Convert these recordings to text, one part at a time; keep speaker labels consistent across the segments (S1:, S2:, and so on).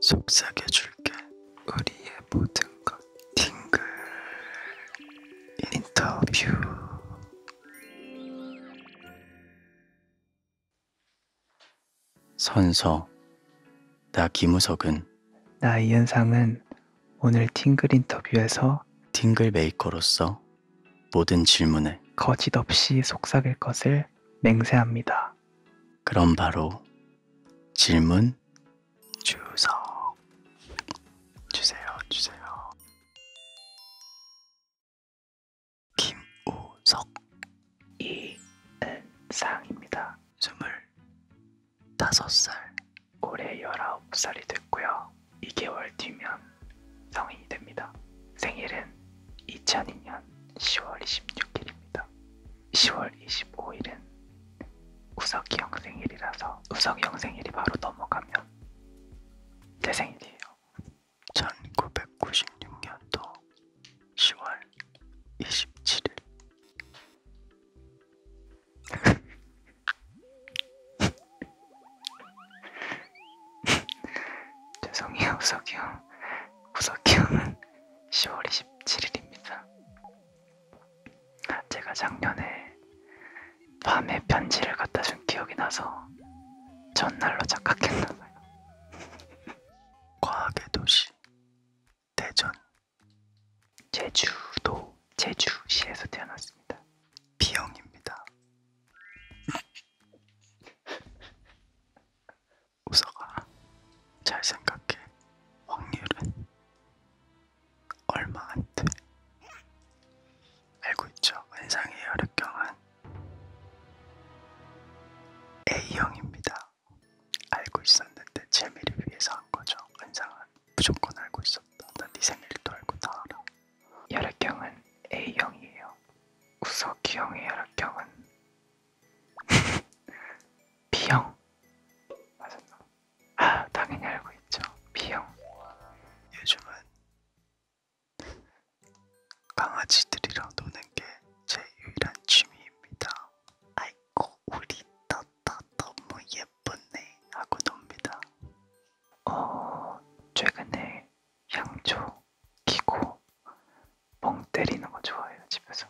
S1: 속삭여줄게 우리의 모든 것 팅글 인터뷰 선서 나 김우석은 나 이현상은 오늘 팅글 인터뷰에서 팅글 메이커로서 모든 질문에 거짓 없이 속삭일 것을 맹세합니다. 그럼 바로 질문 주석 주세요 주세요 김우석 이은상입니다 25살 올해 19살이 됐고요 2개월 뒤면 성인이 됩니다 생일은 2002년 10월 26일입니다 10월 25일은 우석이 형 생일이라서 우석이 형 생일이 바로 넘어가면 제 생일이에요. 1996년도 10월 27일 죄송해요 우석이 형 우석이 형은 10월 27일 27일입니다. 제가 작년에 밤에 편지를 갖다 준 기억이 나서 전날로 착각했나봐요. 과학의 도시 대전 제주도 제주시에서 태어났습니다. 비영입니다. 우석아, 잘 생각해. 확률은 얼마 안 돼. 알고 있죠? 원상의 혈액형은 A형입니다. 알고 있었는데 재미를 위해서 한 거죠. 원상은 무조건 알고 있었다. 난네 생일도 알고 다 알아. 혈액형은 A형이에요. 우석이형의 혈액형은 B형 맞았나? 아, 당연히 알고 있죠. B형 요즘은 강아지들이랑 노는 게 제 유일한 취미입니다. 아이고 우리 따따 너무 예쁘네 하고 놉니다. 어, 최근에 향초, 기고 멍 때리는 거 좋아해요 집에서.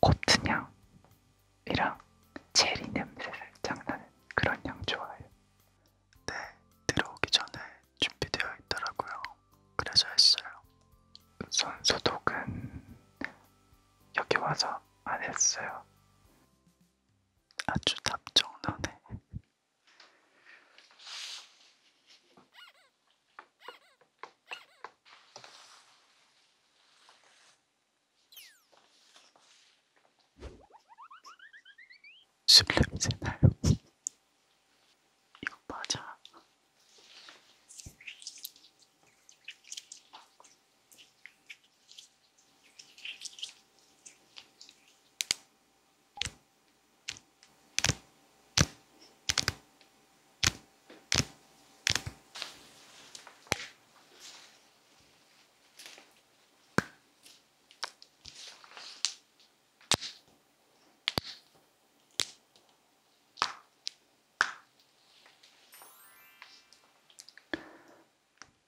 S1: 코트냥이랑 체리 냄새 살짝 나는 그런 향 좋아해요. 네, 들어오기 전에 준비되어 있더라고요. 그래서 했어요. 손 소독은 여기 와서 안 했어요. 아주 답정나네. 술 냄새 나요. 이거 맞아.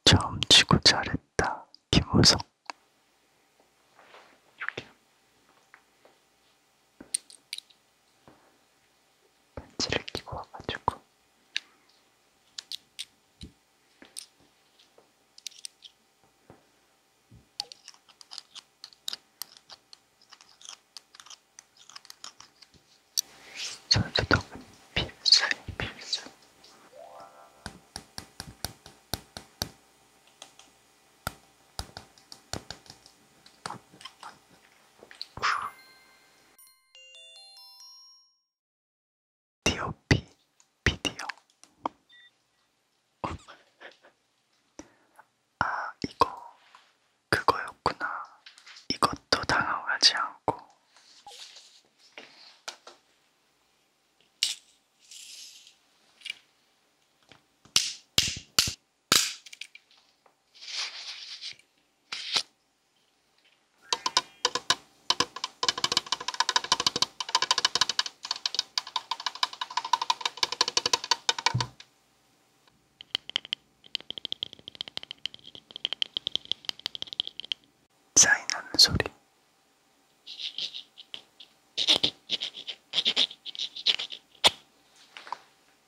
S1: 점치고 잘했다, 김우석. 반지를 끼고 와가지고 손수독은 필수에 필수 디오피 비디오 아 이거 그거였구나 이것도 당황하지 않고 짜이나는 소리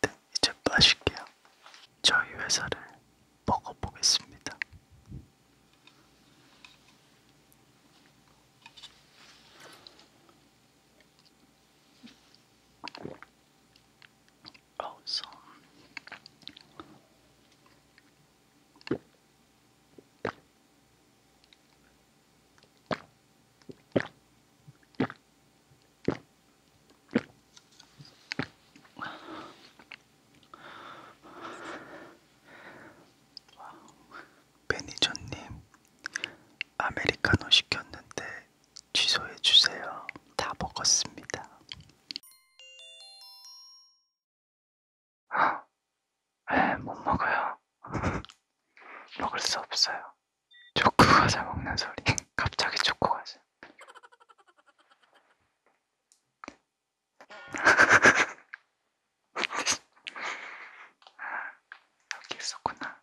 S1: 네, 이제 빠질게요. 저희 회사를 먹어보겠습니다. 어서. 매니저님, 아메리카노 시켰는데 취소해 주세요. 다 먹었습니다. 아, 네, 못 먹어요. 먹을 수 없어요. 초코 과자 먹는 소리. 갑자기 초코 과자. 여기 있었구나.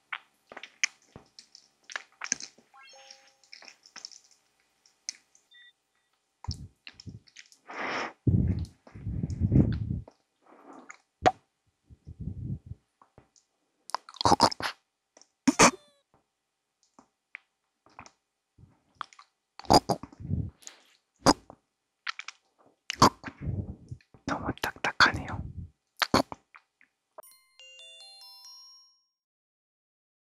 S1: 너무 딱딱하네요.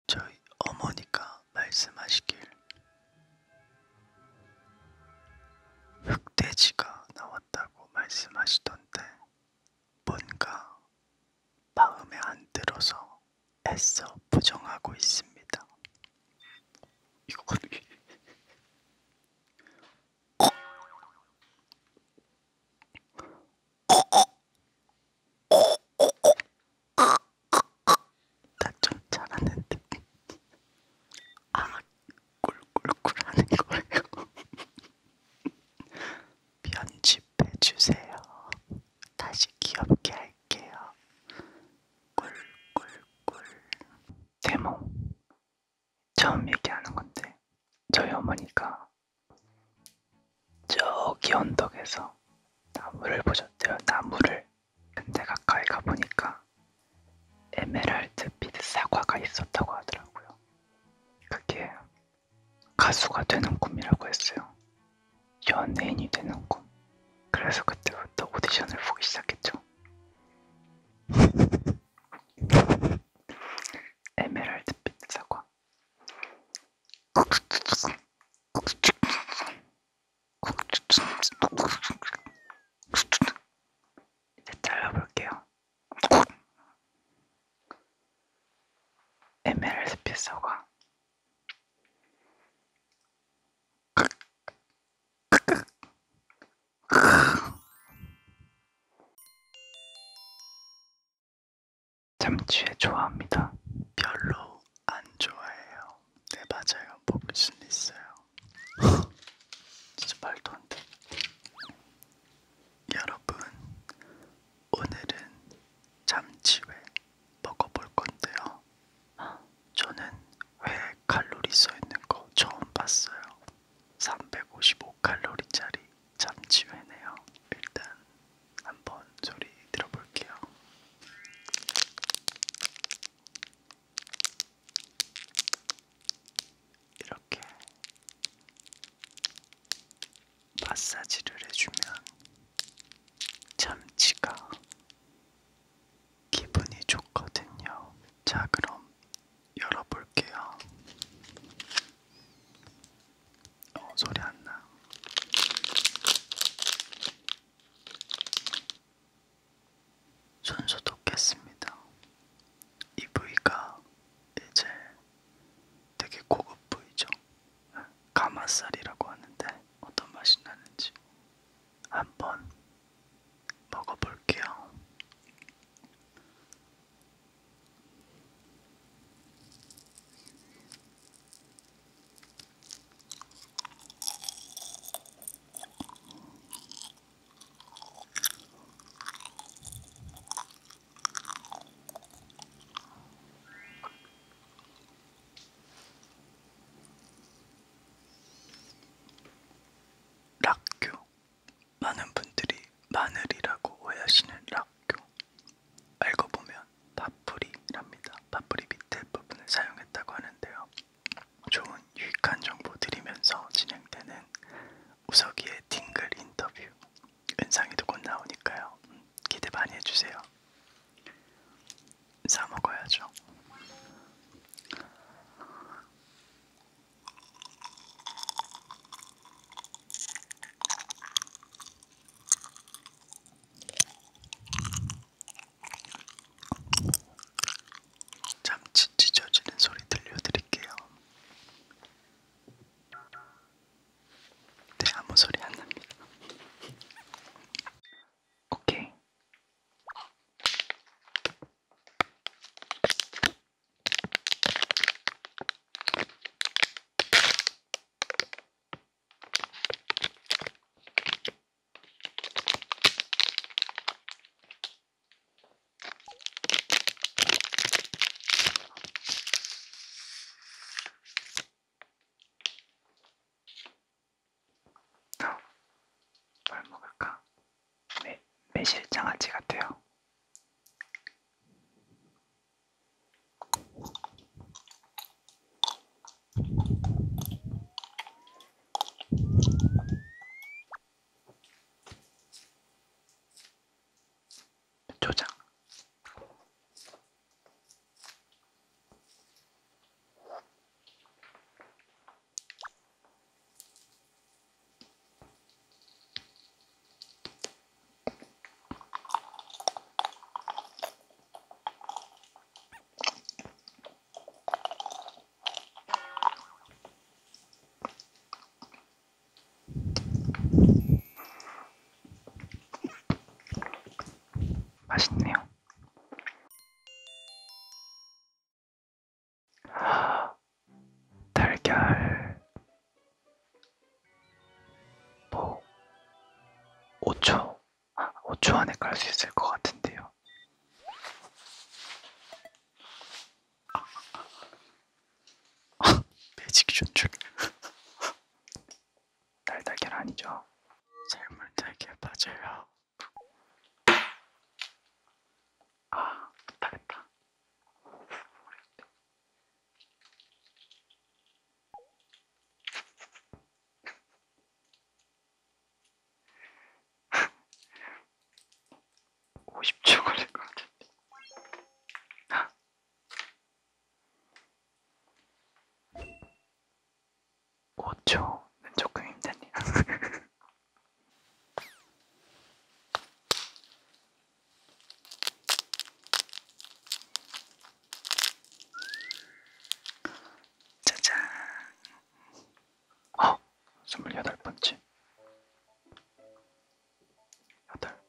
S1: 저희 어머니가 말씀하시길 흑돼지가 나왔다고 말씀하시던데 뭔가 마음에 안 들어서 애써 부정하고 있습니다. 이거 나좀 잘하는데 아 꿀꿀꿀 하는 거예요. 편집해 주세요. 다시 귀엽게 할게요. 꿀꿀꿀. 대모 처음 얘기하는 건데 저희 어머니가 저기 언덕에서 나무를 보셨대요. 나무를. 근데 가까이 가보니까 에메랄드빛 사과가 있었다고 하더라고요. 그게 가수가 되는 꿈이라고 했어요. 연예인이 되는 꿈. 그래서 그때부터 오디션을 보기 시작했죠. 에메랄드빛 사과. 이제 잘라볼게요. MLSP 사과. 참치회 좋아합니다. 별로 안 좋아해요. 네 맞아요. 먹을 수는 있어요. 진짜 말도 안 돼. 여러분 오늘은 참치회 먹어볼 건데요. 저는 회 칼로리 써 있는 거 처음 봤어요. 355 칼로리짜리 잠시 후네요. 일단 한번 소리 들어볼게요. 이렇게 마사지를 해주면 잠치가 기분이 좋거든요. 자, 그럼 열어볼게요. 어, 소리 안 나. 손소 돋겠습니다. 이 부위가 이제 되게 고급 부위죠. 가마살이라고 하는데 어떤 맛이 나는지 한번 먹어볼게요. 락교 많은 분들이 마늘이라고 오해하시는 락 학교. 알고 보면 파프리랍니다. 파프리 밑에 부분을 사용했다고 하는데요. 좋은 유익한 정보 드리면서 진행되는 우석이의 딩글 인터뷰. 은상이도 곧 나오니까요. 음, 기대 많이 해주세요. 사 먹어야죠. 참치 찢어지는 소리 들려드릴게요. 네, 아무 소리 안 납니다. 오케이. 뭘 먹을까? 매, 매실장아찌 같아요. 조장 맛있네요. 달걀 뭐 5초 5초 안에 깔 수 있을 것 같은데요. 매직 전축 날달걀 아니죠? 삶은 달걀 맞아요. 아, 못하겠다. 50초 걸릴 것 같은데. 오초는 조금 힘드네요. 짜잔. 아, 스물여덟 번째. 여덟.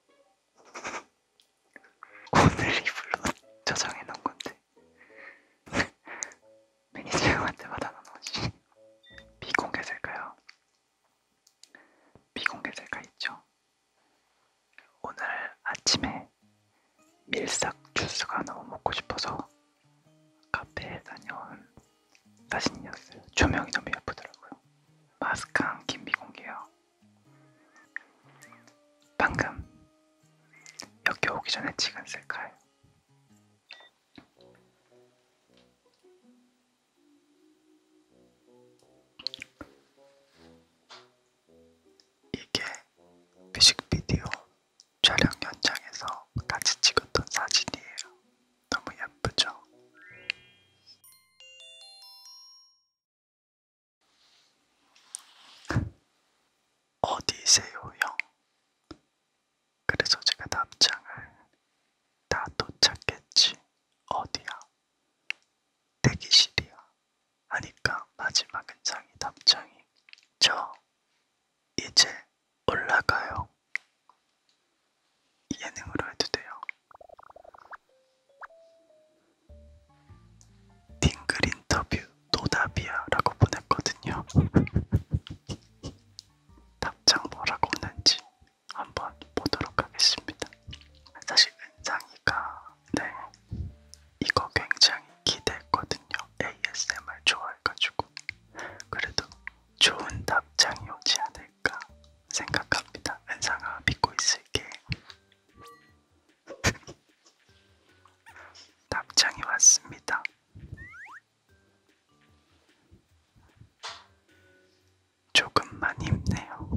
S1: 오늘 이불로 저장해 놓은 건데. 매니저한테 받아놓은지 비공개될까요? 비공개될까 있죠. 오늘 아침에 밀싹 주스가 너무 먹고 싶어서 카페에 다녀온 사진이었어요. 조명이 너무 예쁘더라고요. 마스크한 김비공개요. 방금 여기 오기 전에 찍은 셀카예요. 이게 뮤직비디오 촬영 현장에서 같이 찍었던 사진이에요. 너무 예쁘죠? 어디세요, 형? 그래서 제가 답장을 다 도착했지. 어디야? 대기실이야. 하니까 마지막 은상이 답장이 저 이제 올라가요. 예능으로 해도 돼요. 딩글 인터뷰 노답이야라고 보냈거든요. 답장 뭐라고 오는지 한번 보도록 하겠습니다. 사실 은상이가 네 이거 굉장히 기대했거든요. ASMR 좋아해가지고 그래도 좋은 답장이 오지 않을까 생각합니다. 은상아 믿고 있을게. 답장이 왔습니다. 조금만 힘내요.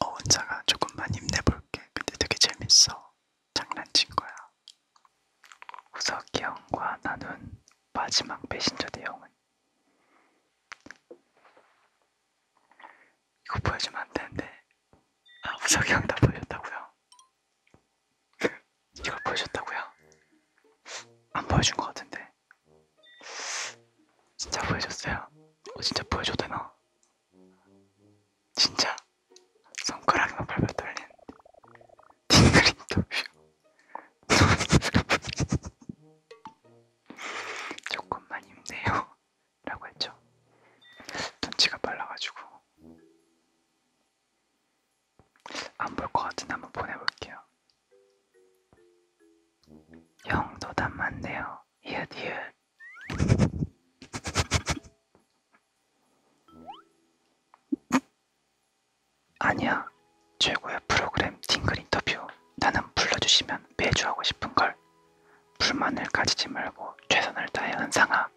S1: 어 혼자가 조금만 힘내볼게. 근데 되게 재밌어. 장난친 거야. 후석이 형과 나눈 마지막 메신저 내용은 이거 보여주면 안 되는데 아 후석이 형 다 보여줬다고요? 이걸 보여줬다고요? 안 보여준 거 같은데 진짜 보여줬어요. 어, 진짜 보여줘도 되나? 진짜 손가락만 발발 떨리는 팅글 인터뷰 조금만 힘내요 라고 했죠. 눈치가 빨라가지고 안 볼 것 같은데 한번 보내볼게요. 영도담 맞네요. 이웃 이웃. 아니야. 최고의 프로그램 팅글 인터뷰. 나는 불러주시면 매주 하고 싶은 걸. 불만을 가지지 말고 최선을 다해 은상아.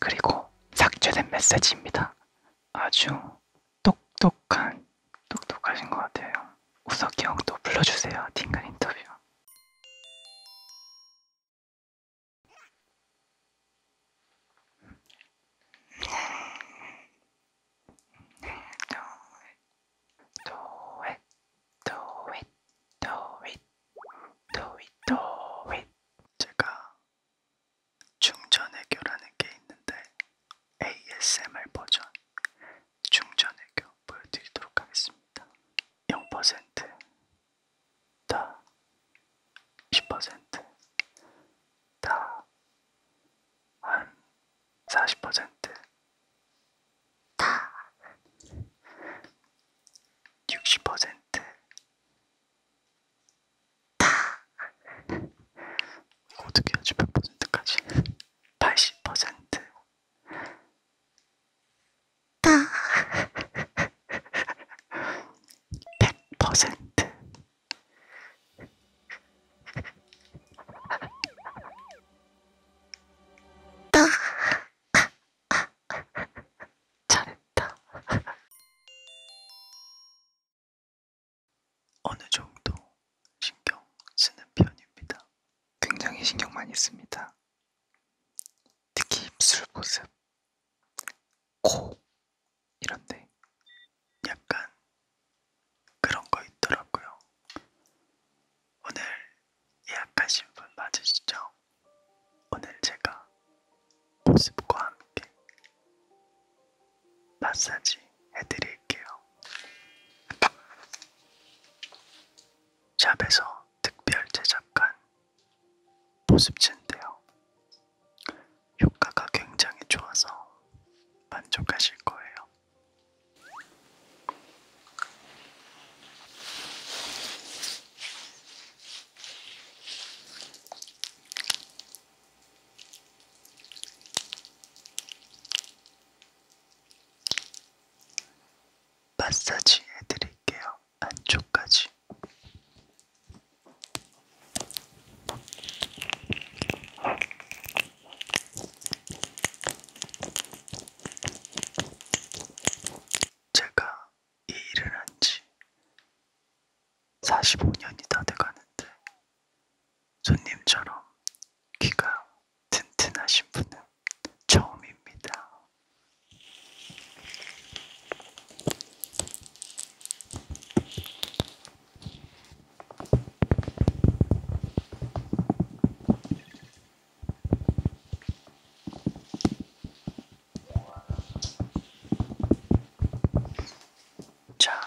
S1: 그리고 삭제된 메시지입니다. 아주 똑똑한 똑똑하신 것 같아요. 우석이 형도 불러주세요. 딩간 인터뷰. 도윗 도윗 도윗 도윗 도윗 제가 중전애교라는 게 있는데 ASMR 버전 충전외교 보여드리도록 하겠습니다. 0% 다, 10% 다, 한40% 다, 60% 다, 어떻게 하지 몇 퍼센트까지? 80%? 다100%다 잘했다. 어느 정도 신경 쓰는 편입니다. 굉장히 신경 많이 씁니다. 특히 입술 모습, 코 이런데 약간 그런 거 있더라고요. 오늘 예약하신 분 맞으시죠? 오늘 제가 모습과 함께 마사지 해드릴게요. 샵에서 특별 제작한 보습제인데요. 효과가 굉장히 좋아서 만족하실 거예요. 마사지 해드릴게요. 안쪽까지. 제가 이 일을 한지 45년이 다 돼가는데 손님처럼 귀가 튼튼하신 분은 처음입니다. 자,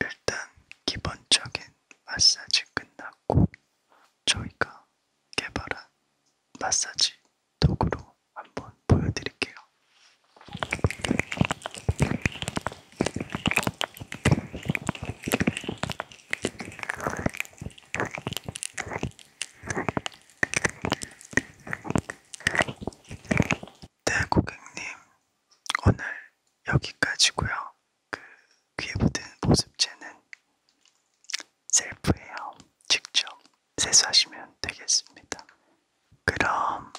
S1: 일단 기본적인 마사지 끝나고 꼭 저희가 개발한 마사지 도구로 한번 보여드릴게요. 네, 고객님, 오늘 여기까지고요. 그 귀에 붙은 보습제는 셀프예요. 직접 세수하시면 되겠습니다. 그럼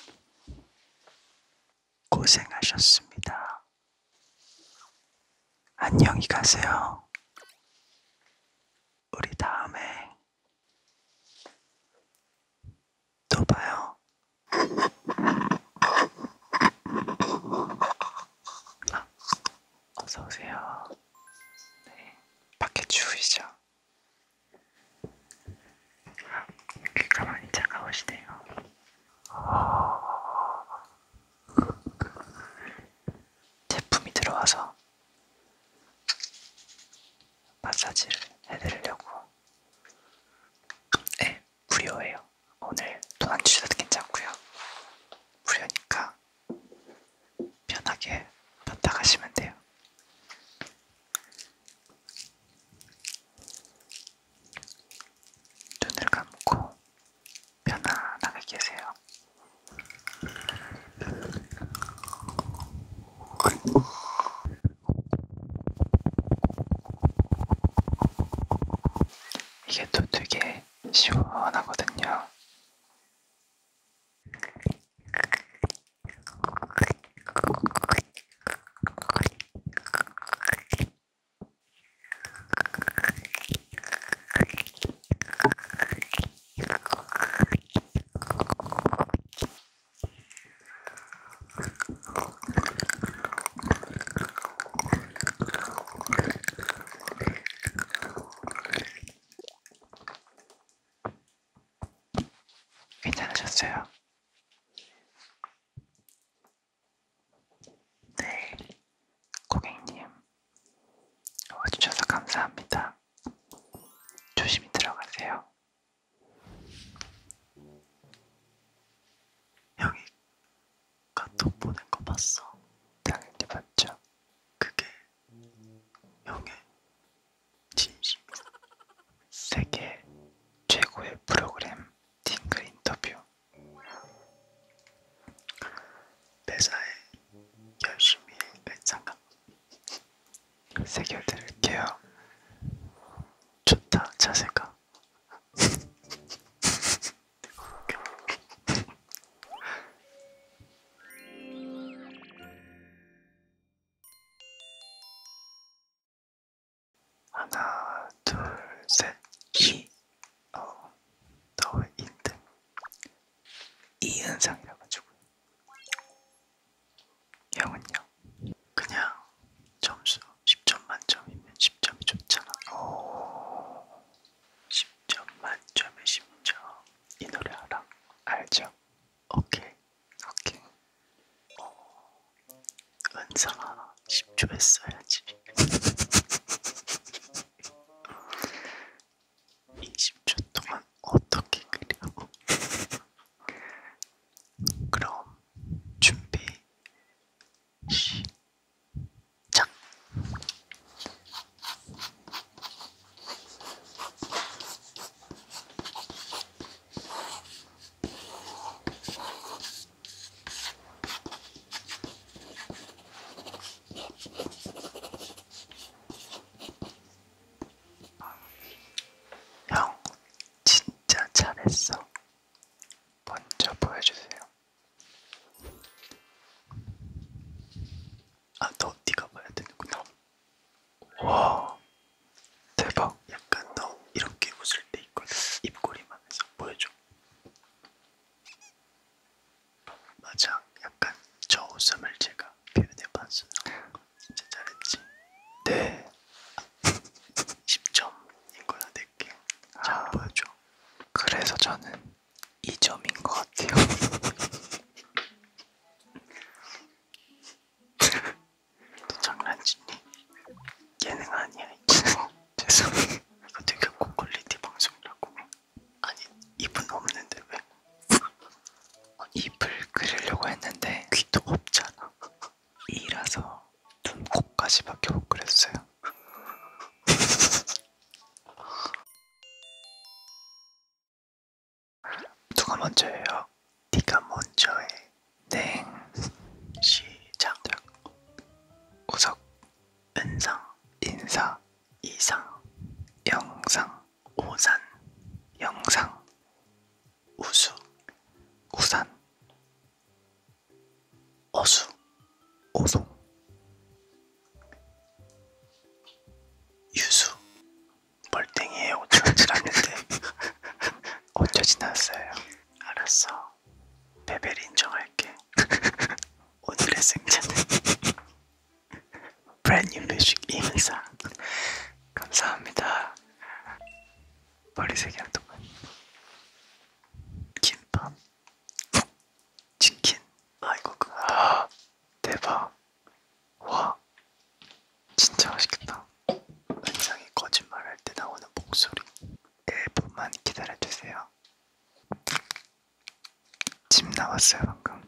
S1: 고생하셨습니다. 안녕히 가세요. 우리 다음에 또 봐요. 아, 어서오세요. 네. 밖에 추우시죠? 아, 귀가 많이 차가우시네요. 제품이 들어와서 마사지를 해드리려고. 네, 무료예요. 오늘 돈안 주셔도 괜찮고요. 무료니까 편하게 받다 가시면 돼요. 눈을 감고 편안하게 계세요. 이게 또 되게 시원하거든요. 괜찮으셨어요? 네, 고객님, 와주셔서 어, 감사합니다. 조심히 들어가세요. 여기 카톡 보낸 거 봤어? 당연히 봤죠. 그게 영의 진심 세계 최고의 프로그램 딩글 인터뷰 매사에 열심히 일상감 새겨드릴게요. 좋다 자세가 하나, 둘, 셋, 키. 어, 너의 인등. 이 현상이라 가지고. 형은요? 그냥 점수 10점 만점이면 10점이 좋잖아. 오, 10점 만점에 10점 이 노래 알아? 알죠? 오케이 오케이 어, 은상아 10초 했어야지 20초 동안 어떻게 그리고 그럼 준비 시작 짝. 형, 진짜 잘했어. 먼저 보여주세요. 아너 네가 봐야 되는구나. 와 대박. 약간 너 이렇게 웃을 때 있거든. 입꼬리만 해서 보여줘. 맞아. 약간 저 웃음을 제가 표현해봤어요. 진짜 잘했지. 네. 10점인 아, 거야 내게. 네 잘 아, 보여줘. 그래서 저는 이 점인 것 같아요. 또 장난치니? 예능 아니야 이거. 죄송해. 이거 되게 고퀄리티 방송이라고. 아니 입은 없는데 왜? 아니, 어, 입을 그리려고 했는데 귀도 없잖아. 이라서 눈, 코까지밖에 못 그렸어요. 누가 먼저 해요? 네가 먼저 해. 땡. 시작. 우석. 은상. 인사. 이상. 영상. 오산. 영상. 우수. 우산. 어수, 오송, 유수, 멀땡이에 오천원질 않는데 어쩌진 않았어요. 알았어, 베벨 인정할게. 오늘의 승자는 브랜뉴 뮤직 이문상. 감사합니다. 머리색이 안 똑같네. 김밥. 치킨. 아 이거구나. 그, 아, 대박. 와. 진짜 맛있겠다. 은상이 거짓말할 때 나오는 목소리. 1분만 기다려주세요. 집 나왔어요 방금.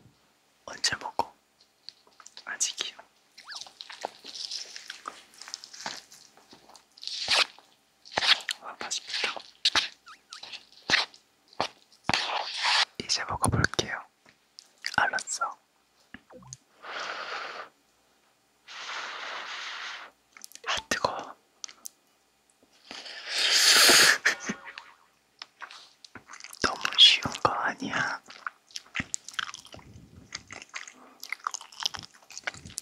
S1: 언제 먹어? 아직이요. 아, 맛있다. 이제 먹어볼게요. 알았어. 아 뜨거워. 너무 쉬운 거 아니야.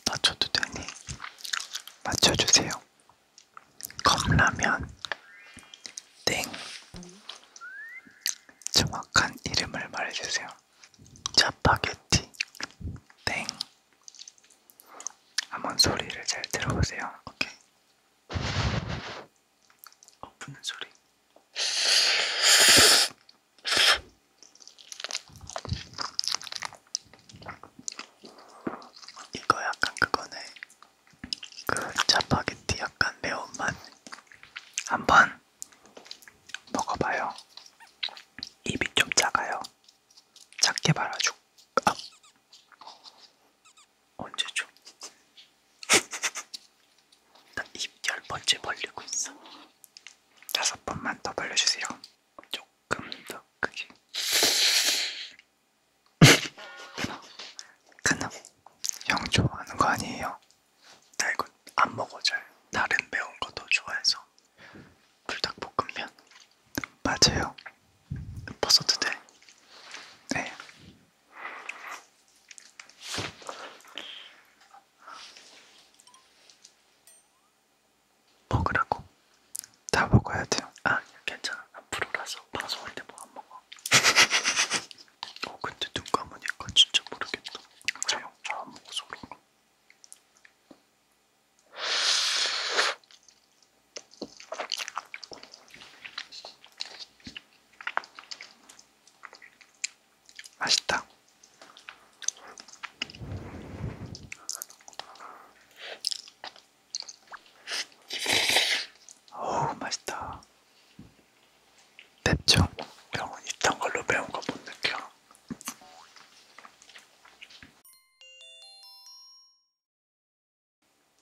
S1: 맞춰도 되니? 맞춰주세요. 컵라면 땡 정확한 이름을 말해주세요. 자파게티 땡 한번 소리를 잘 들어보세요. 오케이. 엎는 소리. 이거 약간 그거네. 그 짜파게티 약간 매운맛 한번 먹어봐요. 입이 좀 작아요. 작게 말아줘. 아. 언제 줘? 입열 번째 벌리고 있어. 다섯 번만 더 벌려주세요. 조금 더 크게. 그놈 형 좋아하는 거 아니에요? 나 이거 안 먹어줘요. 다른 매운 거 더 좋아해서 불닭볶음면 맞아요. 벗어도 돼? 네. 먹으라고. 다 먹어야 돼요. 아, 괜찮아. 앞으로라서 방송할 때 뭐 안 먹어. 어, 근데 눈 감으니까 진짜 모르겠다. 그래요? 잘안 아, 먹어서 그런가? 맛있다. 어우 맛있다. 맵죠? 병은 이딴 걸로 매운 거 못 느껴.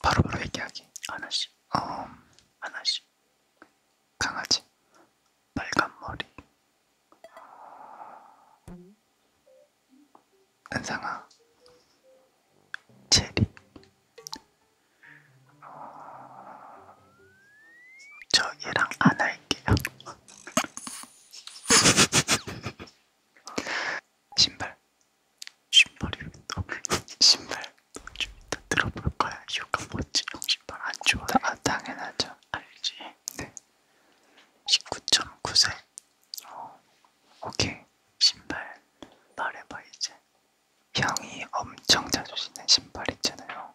S1: 바로바로 바로 얘기하기. 하나씩. 어, 하나씩. 강아지. 빨간 머리. 은상아, 체리. 어... 저 얘랑 안 할게요. 신발. 신발이 왜 또? 신발. 좀 이따 들어볼 거야. 이유가 뭐지? 신발 안 좋아. 아, 당연하죠. 알지. 네. 19.9세. 어, 오케이. 신발 말해봐 이제 형이 엄청 자주 신는 신발 있잖아요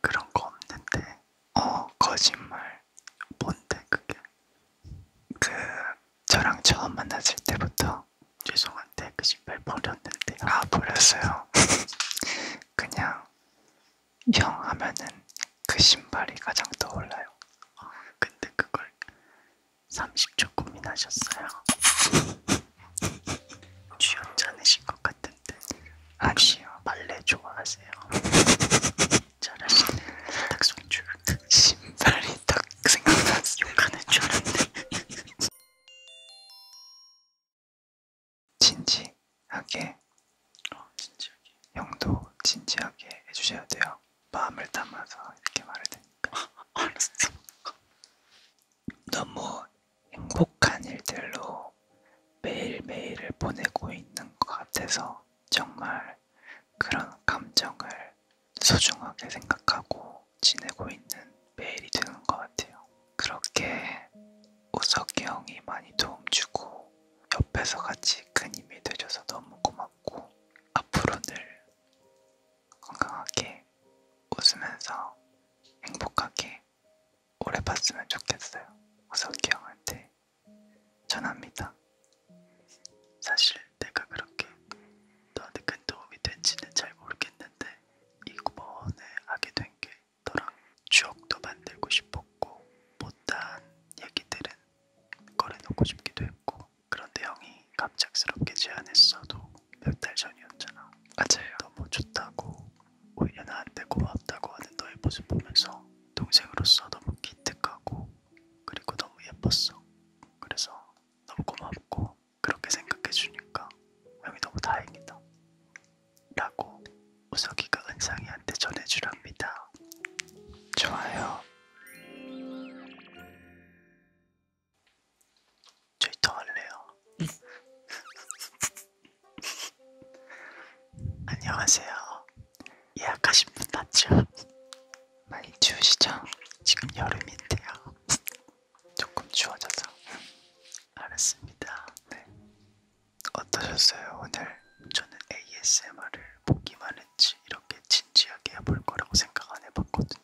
S1: 그런 거 없는데 어 거짓말 뭔데 그게 그 저랑 처음 만났을 때부터 죄송한데 그 신발 버렸는데 아 버렸어요 그냥 형 하면은 그 신발이 가장 떠올라요 근데 그걸 30초 고민하셨어요. 주연자내신 것 같은데. 아니요. 발레 좋아하세요? 잘하시네. 딱손줄 신발이 딱 생각났어요. 욕하는 줄 알았는데. 진지하게. 어, 진지하게. 형도 진지하게 해주셔야 돼요. 마음을 담아서 이렇게 말을 드니까 알았어. 너무 행복한 일들로 매일매일을 보내고 있는 것 같아서 정말 그런 감정을 소중하게 생각하고 지내고 있는 매일이 되는 것 같아요. 그렇게 우석이 형이 많이 도움 주고 옆에서 같이 큰 힘이 되줘서 너무 고마워. 고마웠고 앞으로 늘 건강하게 웃으면서 행복하게 오래 봤으면 좋겠어요. 우석이 형한테 전합니다. 사실 내가 그렇게 너한테 큰 도움이 된지는 잘 모르겠는데 이번에 하게 된 게 너랑 추억도 만들고 싶었고 못한 얘기들은 꺼내놓고 싶기도 했고 그런데 형이 갑작스럽게 제안했어도 몇 달 전이었잖아. 맞아요. 너무 좋다고 오히려 나한테 고맙다고 하는 너의 모습 보면서 동생으로서 너무 기특하고 그리고 너무 예뻤어. 그래서 너무 고맙고 그렇게 생각해주니까 형이 너무 다행이다. 라고 우석이가 은상이한테 전해주랍니다. 좋아요. 저 이따 할래요. 안녕하세요. 예약하신 분 맞죠? 많이 추우시죠? 지금 여름인데요. 조금 추워져서. 알았습니다. 네. 어떠셨어요? 오늘 저는 ASMR을 보기만 했지 이렇게 진지하게 해볼 거라고 생각 안 해봤거든요.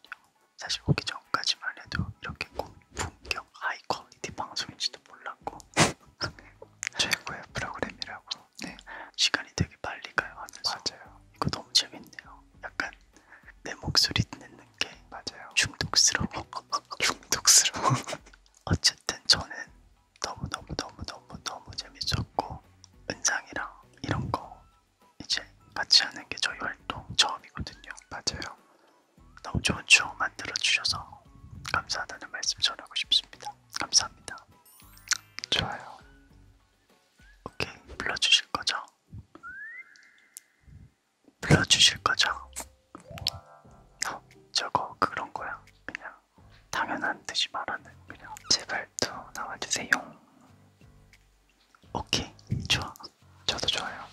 S1: 사실 오기 전까지만 해도 이렇게 고품격 하이 퀄리티 방송인지도 몰랐고 최고의 프로그램이라고 네 시간이 되게 빨리 가요 하면서 맞아요. 이거 너무 재밌네요. 약간 내 목소리 듣는 게 맞아요. 중독스러워. 중독스러워. 어쨌든 저는 너무 너무 너무 너무 너무 재밌었고 은상이랑 이런 거 이제 같이 하는 게 저희 활동 처음이거든요. 맞아요. 너무 좋은 추억 만들어 주셔서 감사하다는 말씀 전하고 싶습니다. 감사합니다. 좋아요. 오케이 불러주실 거죠? 불러주실 거죠? 어, 저거 그런 거야. 그냥 당연한 듯이 말하는 그냥 제발 말도 나와주세요. 오케이, 좋아. 저도 좋아요.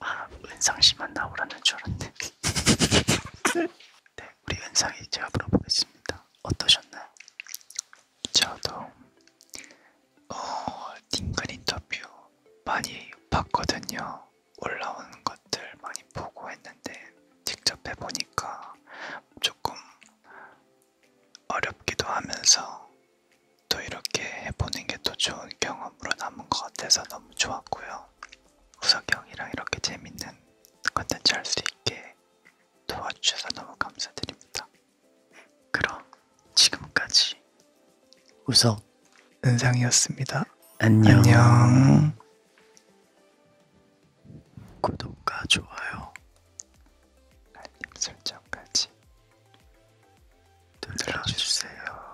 S1: 아, 은상씨만 나오라는 줄 알았네. 네, 우리 은상이 제가 물어보겠습니다. 어떠셨나요? 저도 어, 딩글 인터뷰 많이 봤거든요. 올라온 것들 많이 보고 했는데 직접 해보니까 조금 어렵기도 하면서 또 이렇게 해보는 게 또 좋은 경험으로 남은 것 같아서 너무 좋았고요. 우석이 형이랑 이렇게 재밌는 컨텐츠 할 수 있게 도와주셔서 너무 감사드립니다. 그럼 지금까지 우석 은상이었습니다. 안녕. 안녕. 구독과 좋아요, 알림 설정까지 눌러주세요.